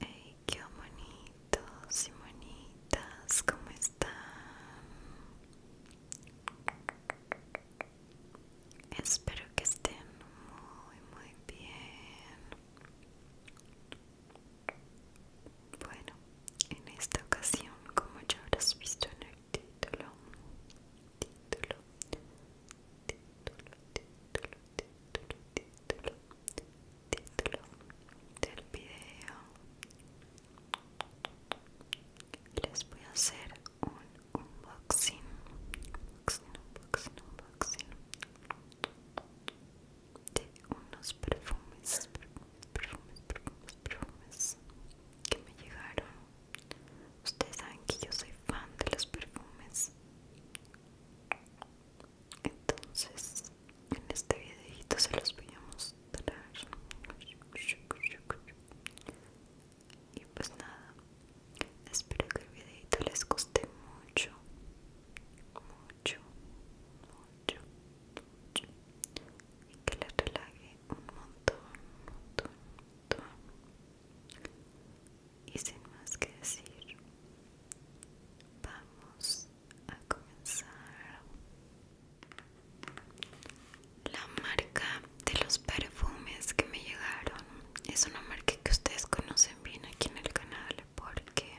Hey, qué bonitos y bonitas, ¿cómo están? Espero que estén muy, muy bien. Bueno, en esta ocasión, como ya habrás visto en el título, título, título, título, título, título, título del video. Les voy a hacer un unboxing, unboxing, unboxing, unboxing de unos perfumes, perfumes, perfumes, perfumes que me llegaron Ustedes saben que yo soy fan de los perfumes. Entonces, en este videito se los voy a mostrar. Y pues nada, espero que el videito les guste mucho, mucho, mucho, mucho. Y que les relaje un montón, un montón, y sin más que decir vamos a comenzar la marca de los perfumes que me llegaron es una marca que ustedes conocen bien aquí en el canal porque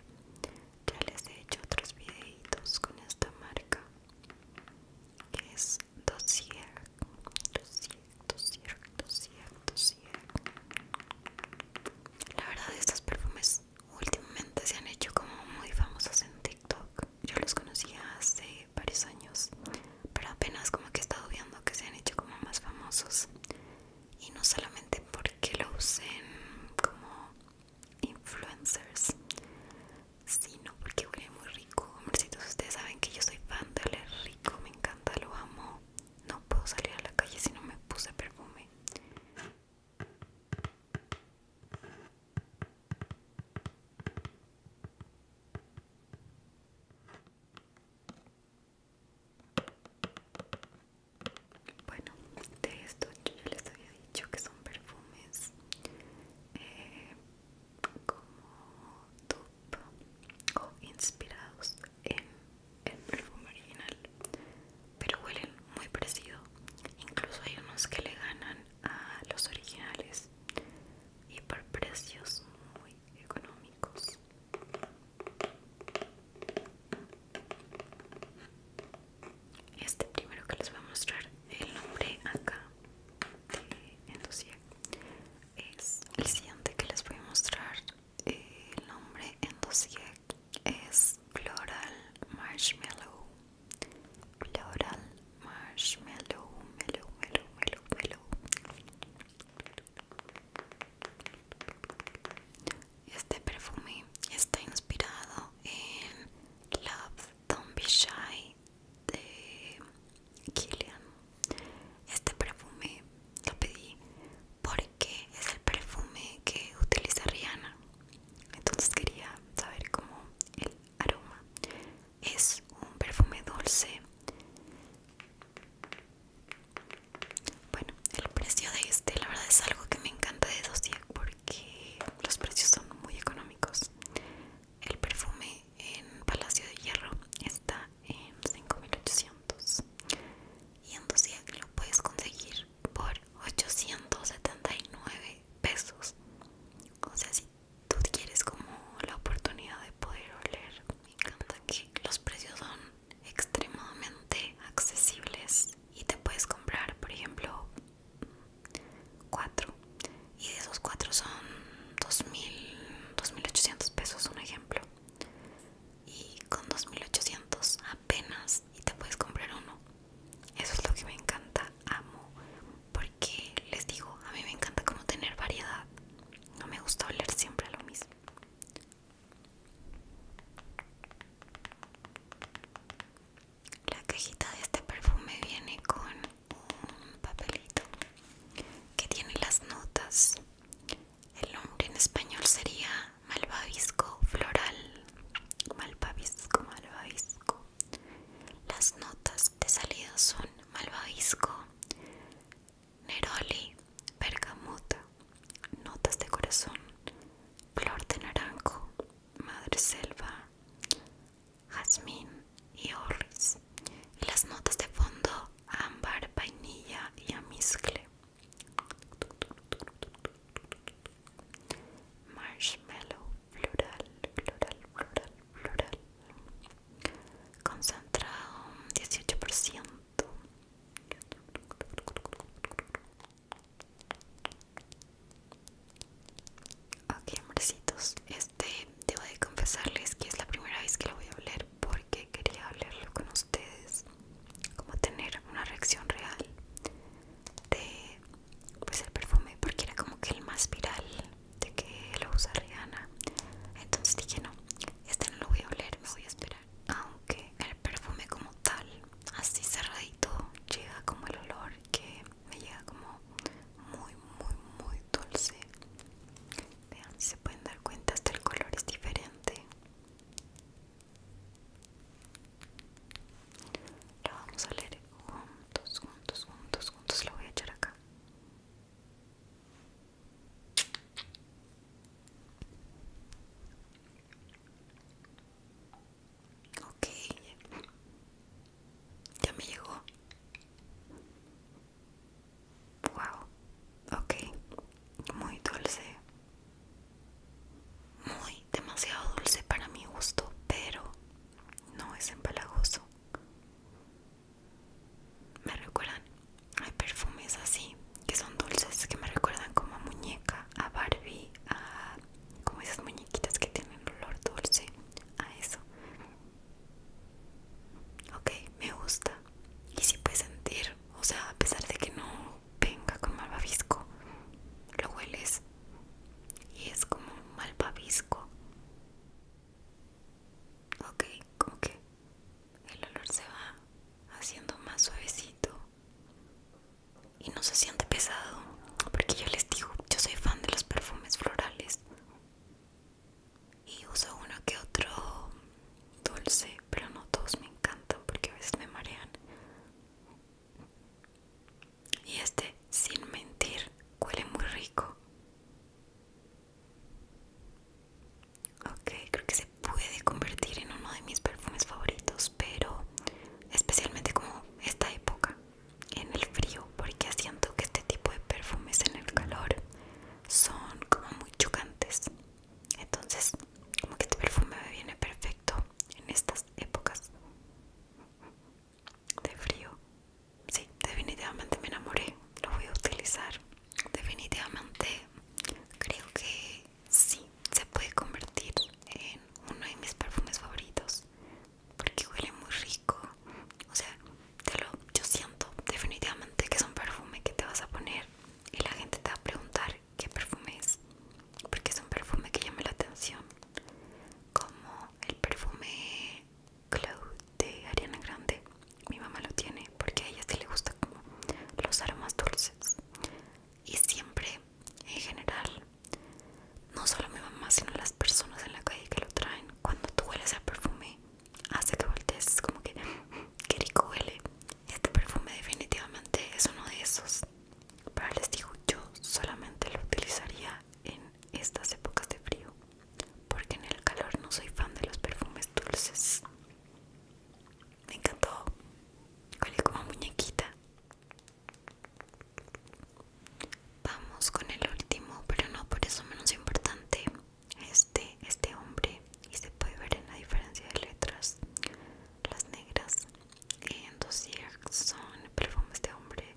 ya les he hecho otros videitos con esta marca que es dossier, 200, 200, 200, La verdad estos perfumes últimamente se han hecho como muy famosos en TikTok. Yo los conocía hace varios años, pero apenas como que he estado viendo que se han hecho como más famosos. Y no solamente porque lo usen como influencers, sino porque huele muy rico. Comercitos, Ustedes saben que yo soy fan de rico, me encanta, lo amo. No puedo salir a la calle si no me puse perfume. Bueno, de esto yo les había dicho que son perfumes eh, como dupe o inspirados en el perfume original pero huelen muy parecido incluso hay unos que le ganan a los originales y por precios muy económicos este primero que les voy a mostrar el nombre acá de es el siguiente que les voy a mostrar. Eh, el nombre en dossier es Floral Marshmallow. Floral Marshmallow, Este perfume está inspirado en Love Don't Be Shy de Kilian. Este perfume lo pedí porque es el perfume que utiliza Rihanna. Entonces quería saber cómo el aroma. Es un perfume dulce. Bueno, el precio de este, la verdad es algo que me encanta de días porque los precios son muy económicos. El perfume en Palacio de Hierro está en 5800 y entonces lo puedes conseguir por 879 pesos. O sea, si tú quieres como la oportunidad de poder oler, me encanta que los precios son extremadamente accesibles y te puedes comprar, por ejemplo, 4 y de esos cuatro son 2000, 2.800 pesos un ejemplo y con 2.800 apenas y te puedes comprar uno eso es lo que me encanta amo porque les digo a mí me encanta como tener variedad no me gusta oler siempre lo mismo la cajita de este perfume viene con un papelito que tiene las notas. El nombre en español sería malvavisco floral. Malvavisco, malvavisco. Las notas de salida son malvavisco, neroli, bergamota, notas de corazón, flor de naranjo, madre selva, jazmín, y orris y las notas de fondo ámbar, vainilla y amizcle marshmallow plural, plural, plural, plural concentrado 18% Ok, hombrecitos, este debo de confesarles que es la primera vez que lo voy a oler porque quería hablarlo con ustedes como tener una reacción real de pues el perfume porque era como que el más viral de que lo usa Rihanna entonces dije no este no lo voy a oler me voy a esperar aunque el perfume como tal así cerradito llega como el olor que me llega como muy muy muy dulce Vean si se pueden dar cuenta, hasta el color es diferente. Lo vamos a leer juntos, juntos, juntos, juntos. Lo voy a echar acá. Ok, ya me llegó. Wow, ok, muy dulce, muy demasiado dulce para mi gusto, pero no es empalagoso. Me recuerdan, hay perfumes así que son dulces que me recuerdan como a muñeca, a Barbie, a como esas muñequitas que tienen olor dulce, a eso. Ok, me gusta. Y si sí puedes sentir, o sea, a pesar de que no venga con malvavisco, lo hueles y es como malvavisco. Ok, como que el olor se va haciendo más suavecito y no se siente pesado, porque yo les digo, yo soy fan de los perfumes florales y uso uno que otro dulce, pero no todos me encantan porque a veces me marean. Y este, sin mentir, huele muy rico. Ok, creo que se puede convertir en uno de mis perfumes favoritos, pero especialmente como esta época, en el frío, porque siento que este tipo de perfumes en el calor son como muy chocantes entonces como que este perfume me viene perfecto en estas épocas de frío sí definitivamente me enamoré lo voy a utilizar definitivamente creo que sí se puede convertir en uno de mis perfumes favoritos porque huele muy rico o sea yo siento definitivamente que es un perfume que te vas a poner y la gente te va a preguntar qué perfume es, porque es un perfume que llama la atención, como el perfume Cloud de Ariana Grande. Mi mamá lo tiene porque a ella sí le gusta como los aromas dulces y siempre en general no solo mi mamá sino las personas en la calle que lo traen cuando tú hueles el perfume hace que voltees como que qué rico huele este perfume definitivamente es uno de esos pero les digo yo solamente lo utilizaría en estas épocas de frío porque en el calor no soy fan de los perfumes dulces me encantó huele como muñequita vamos con el último pero no por eso menos importante este, este hombre y se puede ver en la diferencia de letras las negras en dosier son perfume de este hombre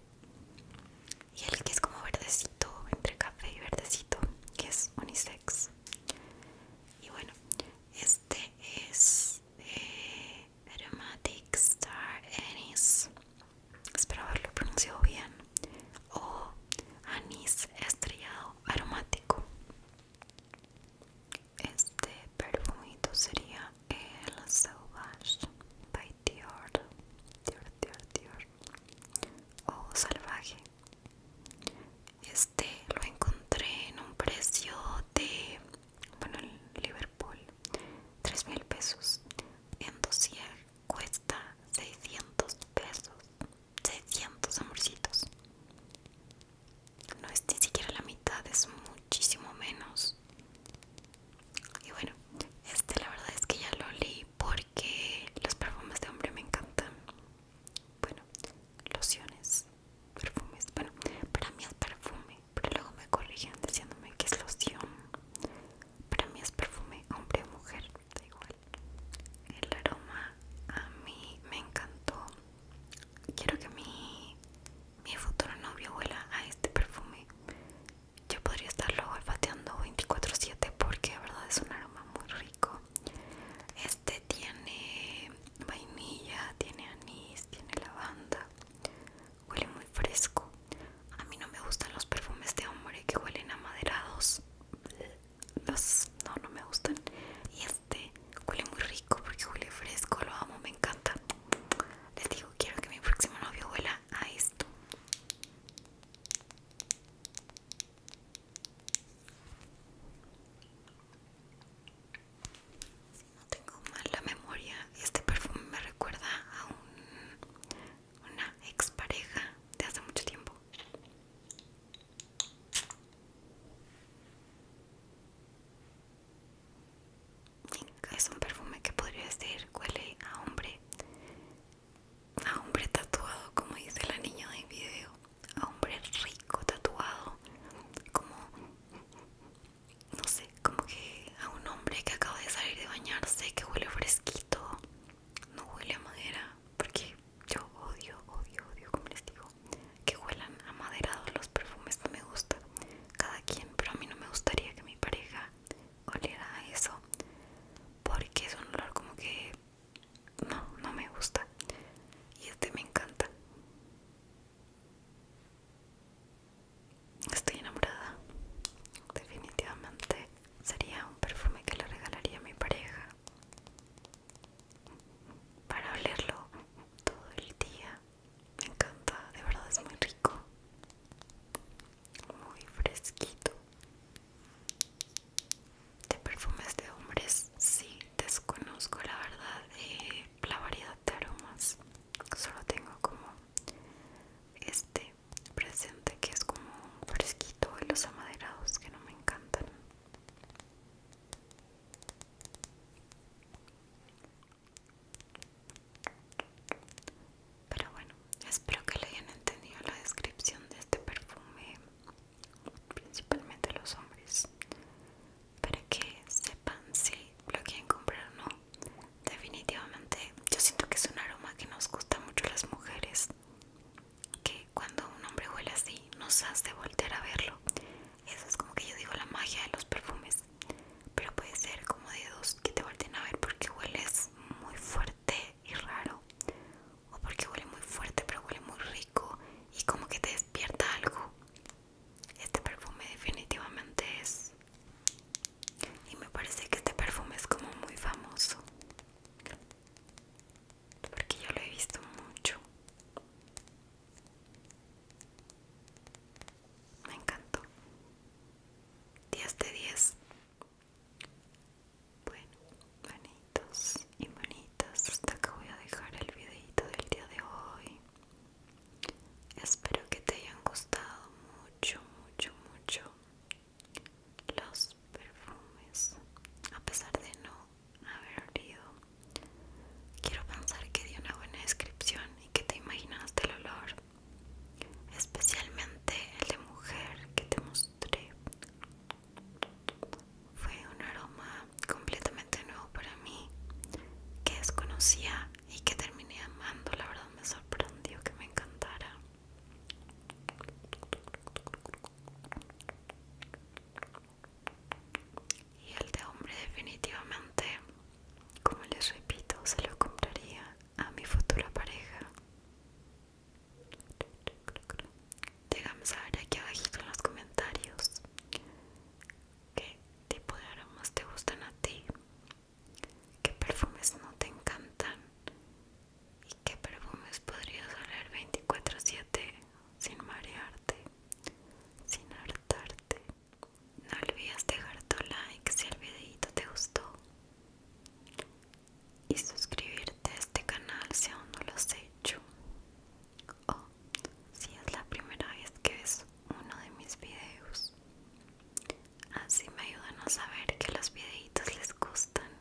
y el que es como verdecito entre café y verdecito que es unisex y bueno este es eh, aromatic star anise espero haberlo pronunciado bien, o anís estrellado aromático. Este perfumito sería el Sauvage by Dior, Dior, Dior, Dior, o Salvaje. Este lo encontré en un precio de, bueno, en Liverpool, 3000 pesos en dossier cuesta 600 pesos 600 amorcitos no es ni siquiera la mitad es muchísimo menos y bueno este la verdad es que ya lo li porque los perfumes de hombre me encantan bueno lociones perfumes bueno para mí es perfume pero luego me corrigen diciéndome que es loción para mí es perfume hombre o mujer da igual el aroma a mí me encantó quiero que mi, mi futuro novio huela a este perfume yo podría estarlo olfateando 24-7 porque de verdad es un aroma muy rico este tiene vainilla, tiene anís, tiene lavanda huele muy fresco a mí no me gustan los perfumes de hombre que huelen amaderados los no no me gustan y este huele muy rico porque huele fresco lo amo me encanta les digo quiero que mi próximo novio huela a esto si no tengo mala memoria este perfume me recuerda a un una expareja de hace mucho tiempo. Es un perfume que podría decir huele a hombre, a hombre tatuado, como dice la niña del video, a hombre rico tatuado, como no sé, como que a un hombre que acaba de salir de bañarse, que huele fresquito, no huele a madera porque yo odio, odio, odio, como les digo, que huelan a maderados los perfumes, no me gusta cada quien, pero a mí no me gustaría que mi pareja oliera a eso porque es un olor como que no, no me gusta y este me encanta. Estoy enamorada, definitivamente. Sería un perfume que le regalaría a mi pareja para olerlo todo el día. Me encanta, de verdad es muy rico, muy fresquito. De perfumes de hombres, sí, desconozco la verdad eh, la variedad de aromas. Solo tengo como este presente que es como fresquito y los amaderados que no me encantan pero bueno espero que le hayan entendido la descripción de este perfume principalmente los hombres para que sepan si lo quieren comprar o no definitivamente yo siento que es un aroma que nos gusta mucho las mujeres que cuando un hombre huele así nos hace voltear a verlo. Eso es como que yo digo la magia de los perfumes. Pero puede ser como de dos que te vuelven a ver porque hueles muy fuerte y raro. O porque huele muy fuerte pero huele muy rico y como que te despierta algo. Este perfume definitivamente es... Y me parece que este perfume es como muy famoso porque yo lo he visto mucho. Me encantó. 10 de 10. Bueno, manitos y manitas, hasta acá voy a dejar el videito del día de hoy. Espero que te hayan gustado mucho, mucho, mucho los perfumes a pesar de no haber olido quiero pensar que dio una buena descripción y que te imaginaste el olor especialmente el de mujer que te mostré fue un aroma completamente nuevo para mí que desconocía y que terminé amando la verdad me sorprendió que me encantara y el de hombre definitivamente, como les repito, se lo compraría a mi futura pareja. Déjame saber aquí abajito en los comentarios qué tipo de aromas te gustan a ti, qué perfumes no te encantan ¿Y qué perfumes podrías oler 24/7 sin marearte, sin hartarte? No olvides dejar tu like si el videito te gustó y suscribirte a este canal si aún no lo has hecho o si es la primera vez que ves uno de mis videos. Así me ayudan a saber que los videitos les gustan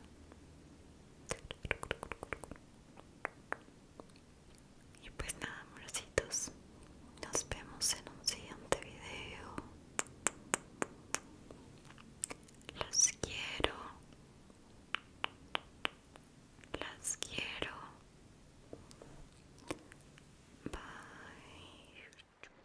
y pues nada, amorcitos, nos vemos en un siguiente video. Los quiero. Las quiero. Bye.